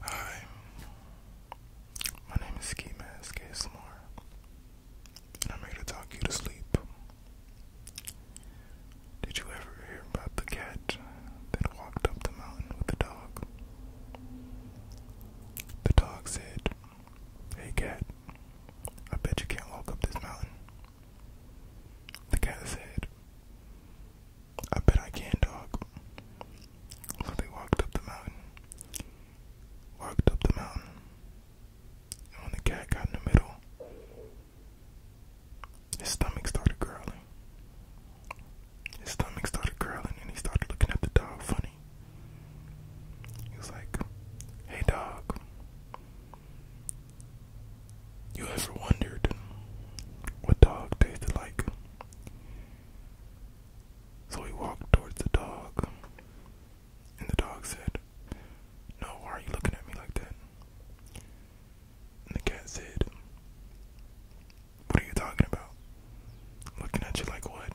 Hi, my name is Ski Mask ASMR, and I'm here to talk you to sleep. Did you ever hear about the cat that walked up the mountain with the dog? The dog said, Hey cat, I bet you can't walk up this mountain. The cat said, I bet I can, dog. So they walked up the mountain. Walked up the mountain. And when the cat got in the middle, his stomach started growling. His stomach started growling and he started looking at the dog funny. He was like, Hey dog, you ever wondered what dog tasted like? So he walked towards the dog, and the dog said, No, why are you looking at me like that? And the cat said, What are you talking about? Looking at you like what?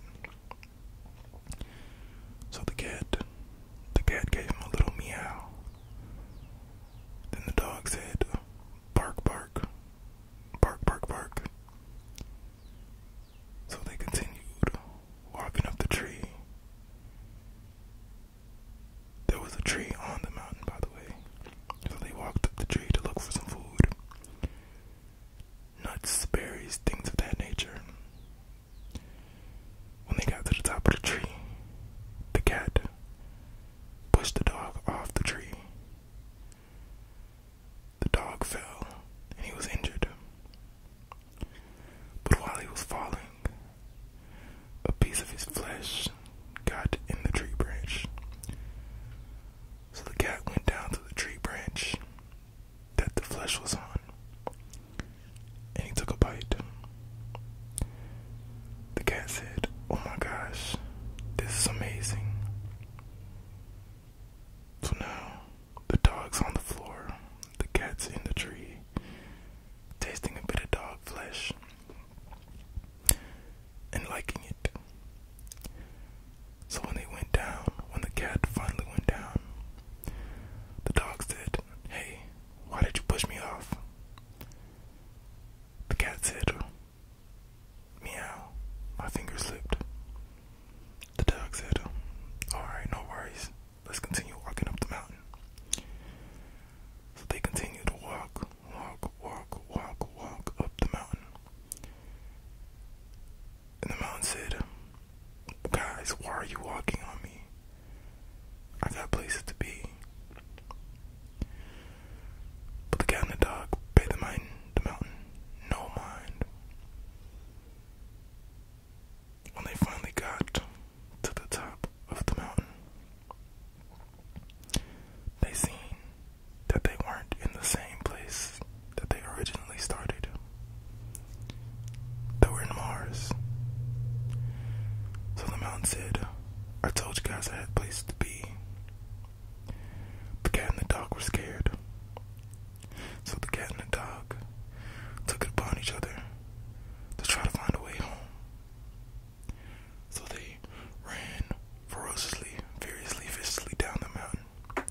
So the cat, the cat gave him a little meow. Then the dog said, Bark, bark, Bark, bark, bark. So they continued walking up the tree. There was a tree on the mountain, by the way. So they walked up the tree to look for some food nuts, berries, things of that nature. When they got to the top of the tree, the cat pushed the dog off the tree the dog fell and he was injured. But while he was falling, a piece of his flesh got in the tree branch. So the cat went down to the tree branch that the flesh was on and he took a bite. The cat said, Oh my gosh, this is amazing. So now, the dog's on the floor, the cat's in the tree, tasting a bit of dog flesh and liking it. So when they went down, when the cat finally went down, the dog said, Hey, why did you push me off? The cat said, Meow. My finger slipped. The dog said, Alright, no worries. Let's continue walking up the mountain. So they continued to walk, walk, walk, walk, walk up the mountain. And the mountain said, Guys, why are you walking on me? I got places to be. But the cat and the dog, pay the mine, the mountain, no mind. When they finally got to the top of the mountain, they seen that they weren't in the same place that they originally started. They were in Mars. So the mountain said, I told you guys I had a place to be. The cat and the dog were scared. So the cat and the dog took it upon each other to try to find a way home. So they ran ferociously, furiously, viciously down the mountain,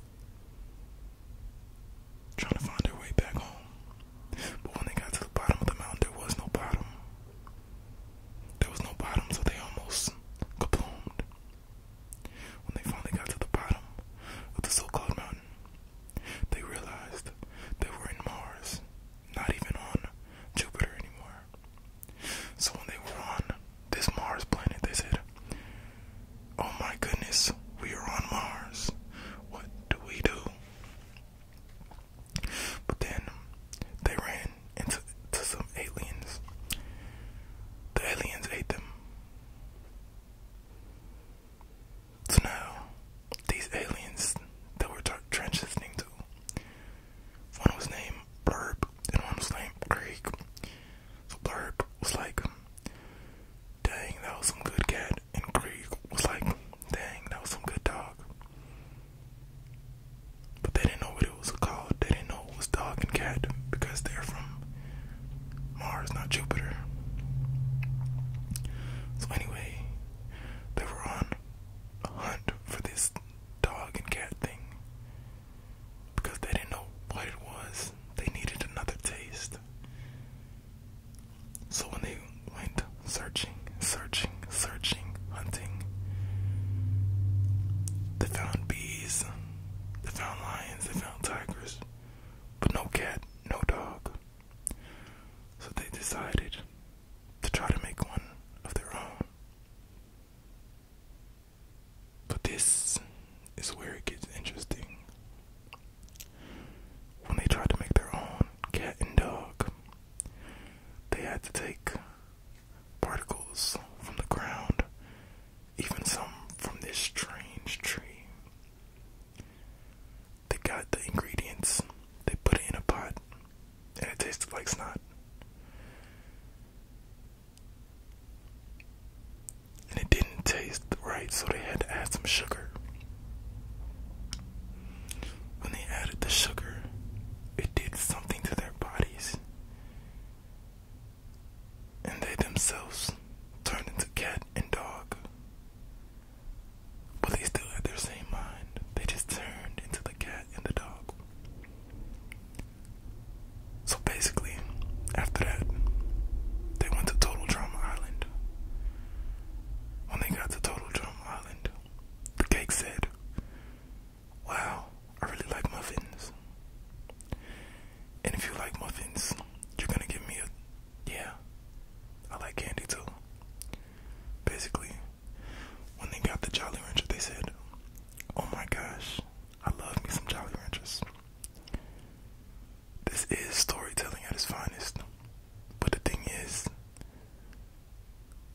trying to find their way back home. But when they got to the bottom of the mountain, there was no bottom. There was no bottom, so they almost kabloomed. When they finally got to the bottom of the so called mountain, they realized they were in Mars, not even on Jupiter anymore. So when they were on this Mars planet, they said, Oh my goodness, we are on Mars. What do we do? But then they ran into to some aliens. The aliens ate them. So now, these aliens that we're transitioning to, one was named Blurb and one was named Creek. So Blurb was like, dang, that was some good cat. And Creek was like, dang, that was some good dog. But they didn't know what it was called. They didn't know it was dog and cat because they're from Mars, not Jupiter. So, anyway, they were on a hunt for this dog and cat thing because they didn't know what it was. They needed another taste. So, when they went searching, searching, searching, hunting, they found bees they found lions, they found tigers, but no cat, no dog. So they decided to try to make one of their own. But this is where it gets interesting. When they tried to make their own cat and dog, they had to take particles from the ground, even some from this strange tree. They got the ingredients, they put it in a pot, and it tasted like snot. And it didn't taste right, so they had to add some sugar. When they added the sugar, it did something to their bodies and they themselves turned into cat and dog. But they still had their same mind. They just turned into the cat and the dog. So basically, after that, they went to Total Drama Island. When they got to Total Drama Island, the cake said, Wow, I really like muffins. And if you like muffins, you're gonna give me a. Yeah, I like candy too. Basically, when they got the Jolly Ranchers, they said, Oh my gosh, I love me some Jolly Ranchers. This is storytelling at its finest. But the thing is,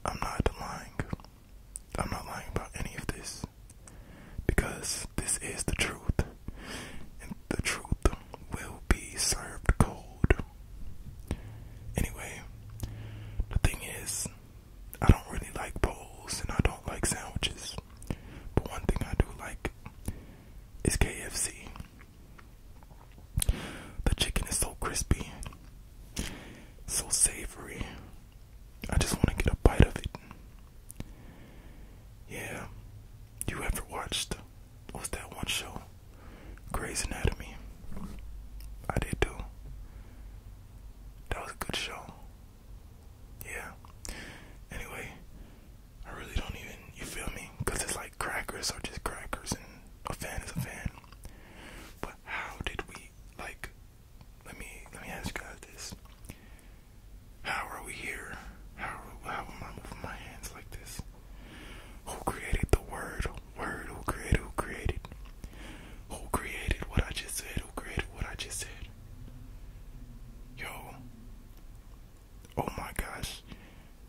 I'm not lying. I'm not lying about any of this because this is the truth, and the truth will be served cold. Anyway, the thing is, I don't really like bowls and I don't like sandwiches, but one thing I do like is KFC. The chicken is so crispy, so savory, I just want to get a bite of it. Yeah, you ever watched what's that one show? Grey's Anatomy. I did too. That was a good show. Yeah. Anyway, I really don't even, you feel me? it's like crackers are just crackers and a fan is a fan. But how did we like let me let me ask you this. How are we here? How how am I moving my hands like this? Who created the word? Word who created who created? Who created what I just said? Who created what I just said? Yo Oh my gosh.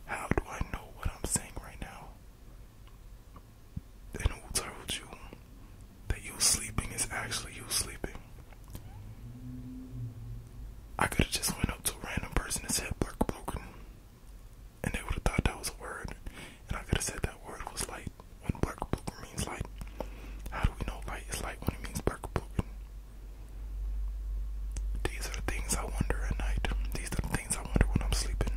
How do I know what I'm saying right now? And who told you? that you sleeping is actually you sleeping. I could have just went up to a random person and said "black broken," and they would have thought that was a word, and I could have said that word was light. When "black broken" means light, how do we know light is light when it means "black broken"? These are the things I wonder at night. These are the things I wonder when I'm sleeping.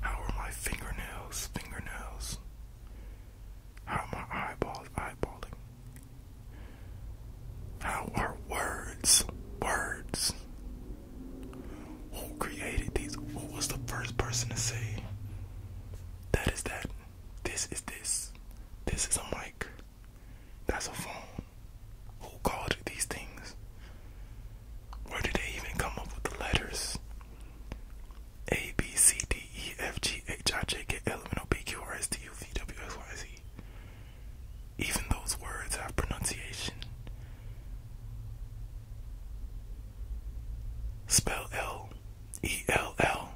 How are my fingernails? Fingernails. How are my eyeballs eyeballing? How are words? Words. Who created these? Who was the first person to say that is that? This is this. This is a mic. That's a phone. Who called these things? Where did they even come up with the letters? A B C D E F G H I J K L M N O P Q R S T U V W X Y Z. Even those words have pronunciation. Spell L E L L.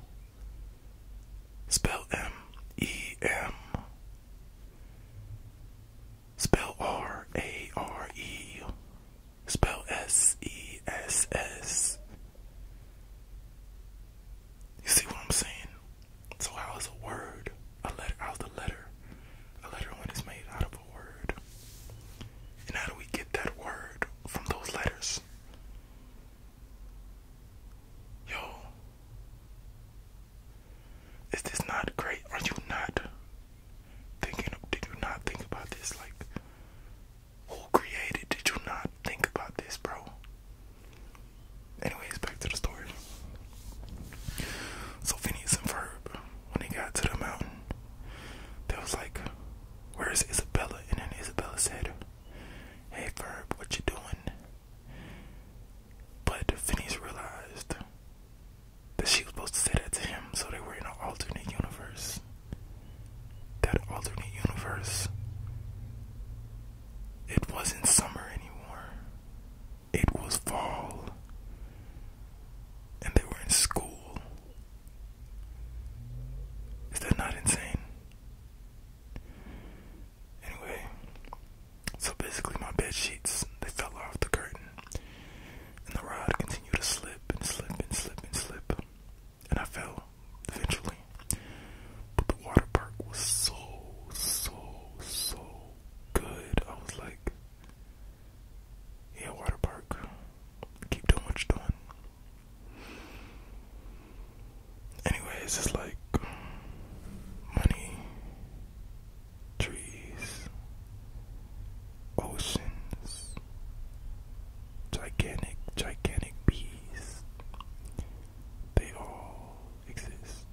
Spell M E M. Spell R A R E. Spell S E S S. You see what I'm saying? So how is a word a letter? How's the letter? A letter when it's made out of a word. And how do we get that word from those letters? Yo, is this not great? Are you not thinking? Did you not think about this? Like, who created? Did you not think about this, bro? Anyways, back to the story. So Phineas and Verb, when they got to the mountain, they was like, "Where is Isabella?" And then Isabella said, "Hey Verb, what you doing?" But Phineas realized that she was supposed to say that to him, so they were in an alternate universe that alternate universe, it wasn't summer anymore, it was fall, and they were in school. Is that not insane? Anyway, so basically, my bed sheets they fell off the curtain, and the rod continued to slip and slip and slip and slip and I fell eventually. But the water park was so, so, so good. I was like, yeah, water park, keep doing what you're doing. Anyways, it's like money, trees, oceans, gigantic, gigantic bees. They all exist.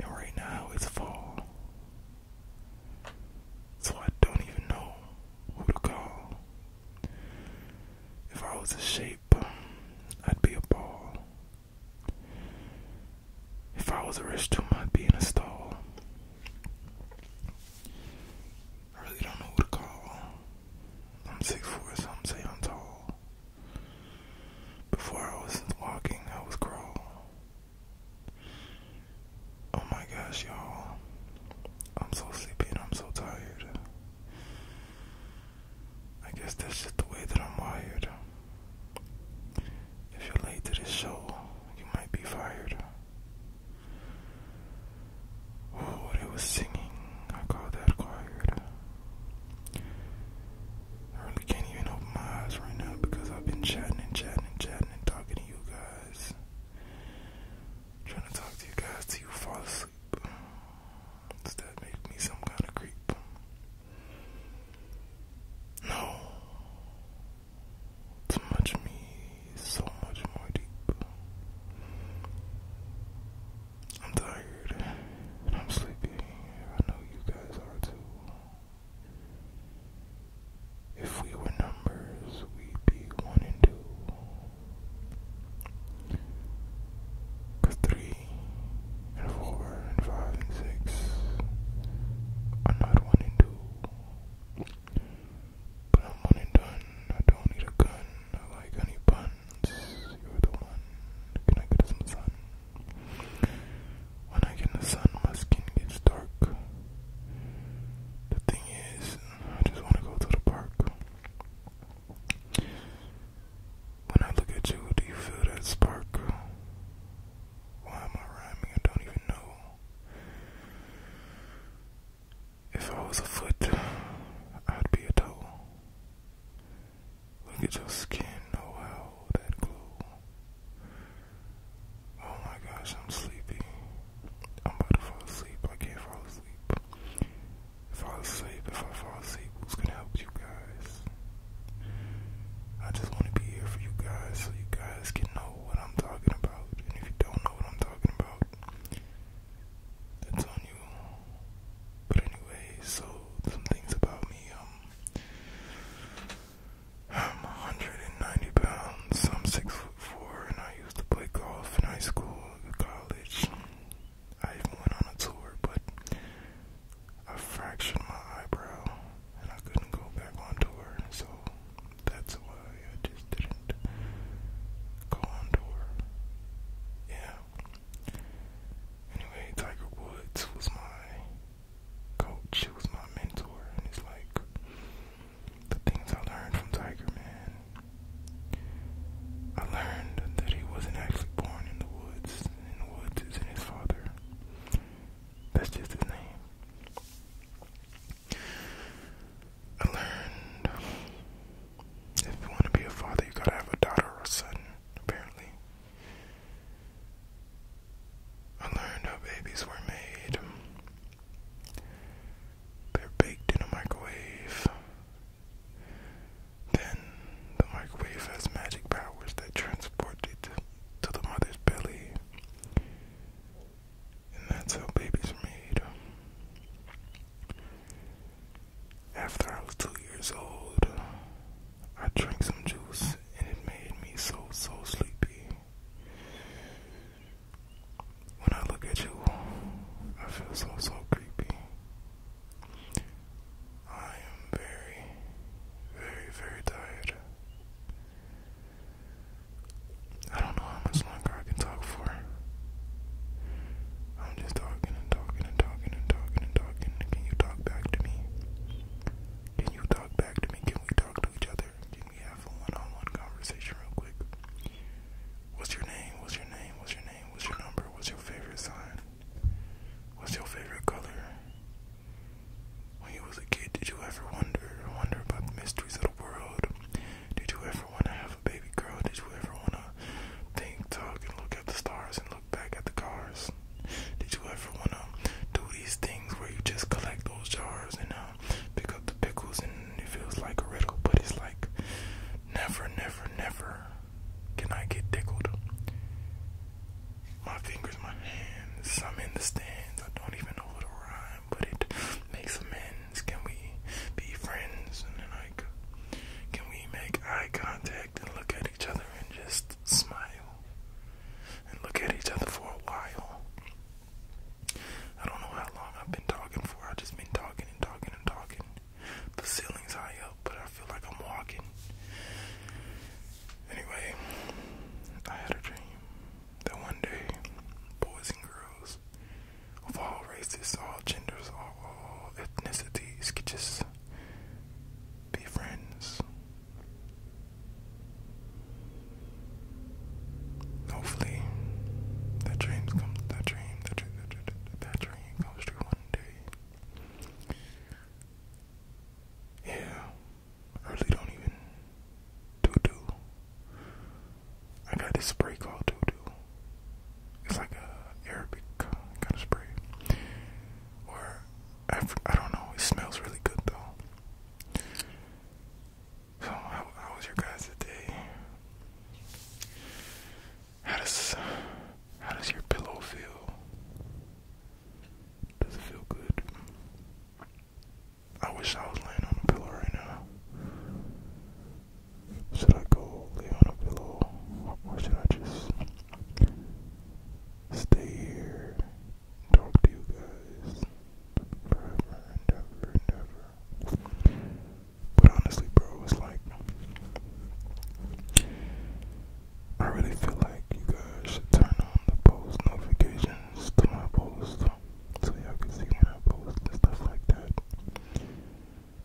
And right now it's fall. So I don't even know who to call. If I was a shape, I'd be a ball. If I was a rich I'd be in a stall. I really don't know what to call. I'm six four, some say I'm tall. Before I was walking, I was crawl. Oh my gosh, y'all. I'm so sleepy and I'm so tired. I guess that's just the way that I'm wired. If you're late to this show, you might be fired. Oh, it was singing. I call that choir. I really can't even open my eyes right now because I've been chatting and chatting and chatting and talking to you guys. trying to talk to you guys till you fall asleep. Does that make me some kind of creep? No. Too much me so much more deep. I'm tired I'm sleepy. I know you guys are too. If we were numbers, we'd be one and two. Cause three and four and five and six are not one and two. But I'm one and done. I don't need a gun. I like honey buns. You're the one. Can I get some sun? When I get in the sun, my skin gets dark. The thing is, I just want to go to the park. When I look at you, do you feel that spark? Why am I rhyming? I don't even know. If I was a foot, I'd be a toe. Look at your skin, oh how that glows! Oh my gosh, I'm sleepy. I'm about to fall asleep. I can't fall asleep. If I fall asleep, if I fall asleep, who's gonna help you guys? I just wanna be here for you guys so you guys can know what I'm talking about. And if you don't know what I'm talking about, that's on you. But anyway, so some things about me. Um, I'm 190 pounds. I'm six foot four, and I used to play golf in high school, college. I even went on a tour, but I fractured my eyebrow, and I couldn't go back on tour. So that's why I just didn't go on tour. Yeah. Anyway, Tiger Woods was my coach, he was my mentor, and it's like the things I learned from Tiger, man. I learned that he wasn't actually born in the woods, and the woods isn't his father. That's just his name. I learned if you want to be a father, you gotta have a daughter or a son, apparently. I learned how babies were made. They're baked in a microwave. Then the microwave has magic powers that transport it to the mother's belly. And that's how babies are made. After I was two years old, I drank some juice and it made me so, so sleepy. When I look at you, I feel so, so creepy. I am very, very, very tired. I don't know how much longer I can talk for. I'm just talking and talking and talking and talking and talking. Can you talk back to me? Can you talk back to me? Can we talk to each other? Can we have a one on one conversation real quick? What's your name? What's your name? What's your name? What's your number? What's your favorite sign? What's your favorite color? When you was a kid, did you ever wonder wonder about the mysteries of the world? Did you ever want to have baby girl did you ever wanna think, talk, and look at the stars and look back at the cars? Did you ever wanna do these things where you just collect those jars and uh, pick up the pickles and it feels like a riddle, but it's like never, never, never can I get tickled? My fingers, my hands, I'm in the stands. I don't even know what to rhyme, but it makes a man can we be friends? And then like, can we make eye contact and look at each other and just smile and look at each other for a while? I don't know how long I've been talking for. i just been talking and talking and talking. The ceiling's high up, but I feel like I'm walking. Anyway, I had a dream that one day, boys and girls of all races, all genders, all, ethnicities could just be friends. Hopefully, that dream comes. That dream, that dream, that dream, that dream comes true one day. Yeah, I really don't even do do I got this spray called Doodoo. It's like a Arabic kind of spray, or I don't know. It smells really good though. So how, how was your guys' day? How does how does your pillow feel? Does it feel good? I wish I was laying on a pillow right now. Should I go lay on a pillow or should I just stay here, talk to you guys forever and ever and ever? But honestly, bro, it's like I really feel like you guys should turn on the post notifications to my post so y'all can see when I and stuff like that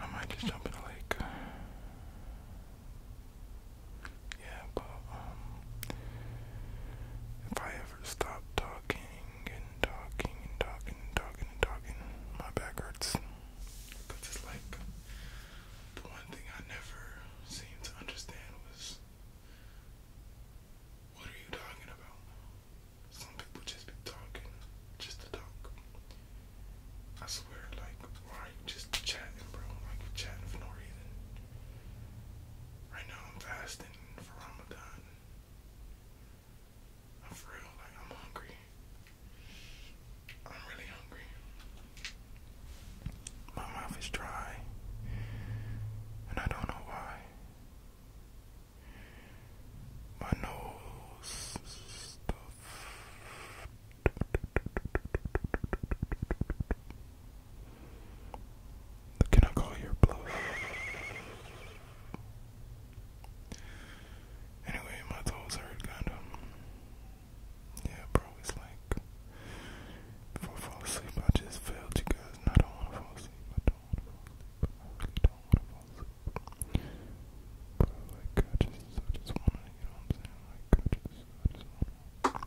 I might just jump in the lake. Yeah, but um, if I ever stop talking and talking and talking and talking and talking, my back hurts. it's like the one thing I never seemed to understand was, what are you talking about? some people just be talking just to talk. I swear, like, why you just chatting, bro? Like, you chatting for no reason. Right now, I'm fasting for Ramadan. I'm real, like, I'm hungry. I'm really hungry. My mouth is dry, and I don't know why my nose stuff. Can I call your bluff? Anyway, my toes hurt kinda. Yeah, bro, it's like before I fall asleep I just failed you guys and I don't wanna fall asleep do I don't want to fall asleep. But like, I just, I just want to, you know what I'm saying? Like, I just, I just want to,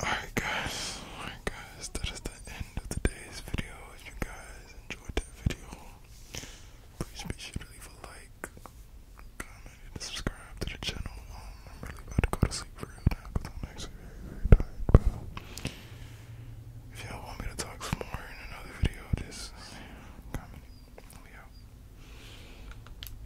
Alright guys, alright guys, that is the end of today's video. If you guys enjoyed that video, please be sure to leave a like, comment, and subscribe to the channel. Um, I'm really about to go to sleep for real now but I'm actually very, very tired, If y'all want me to talk some more in another video, just comment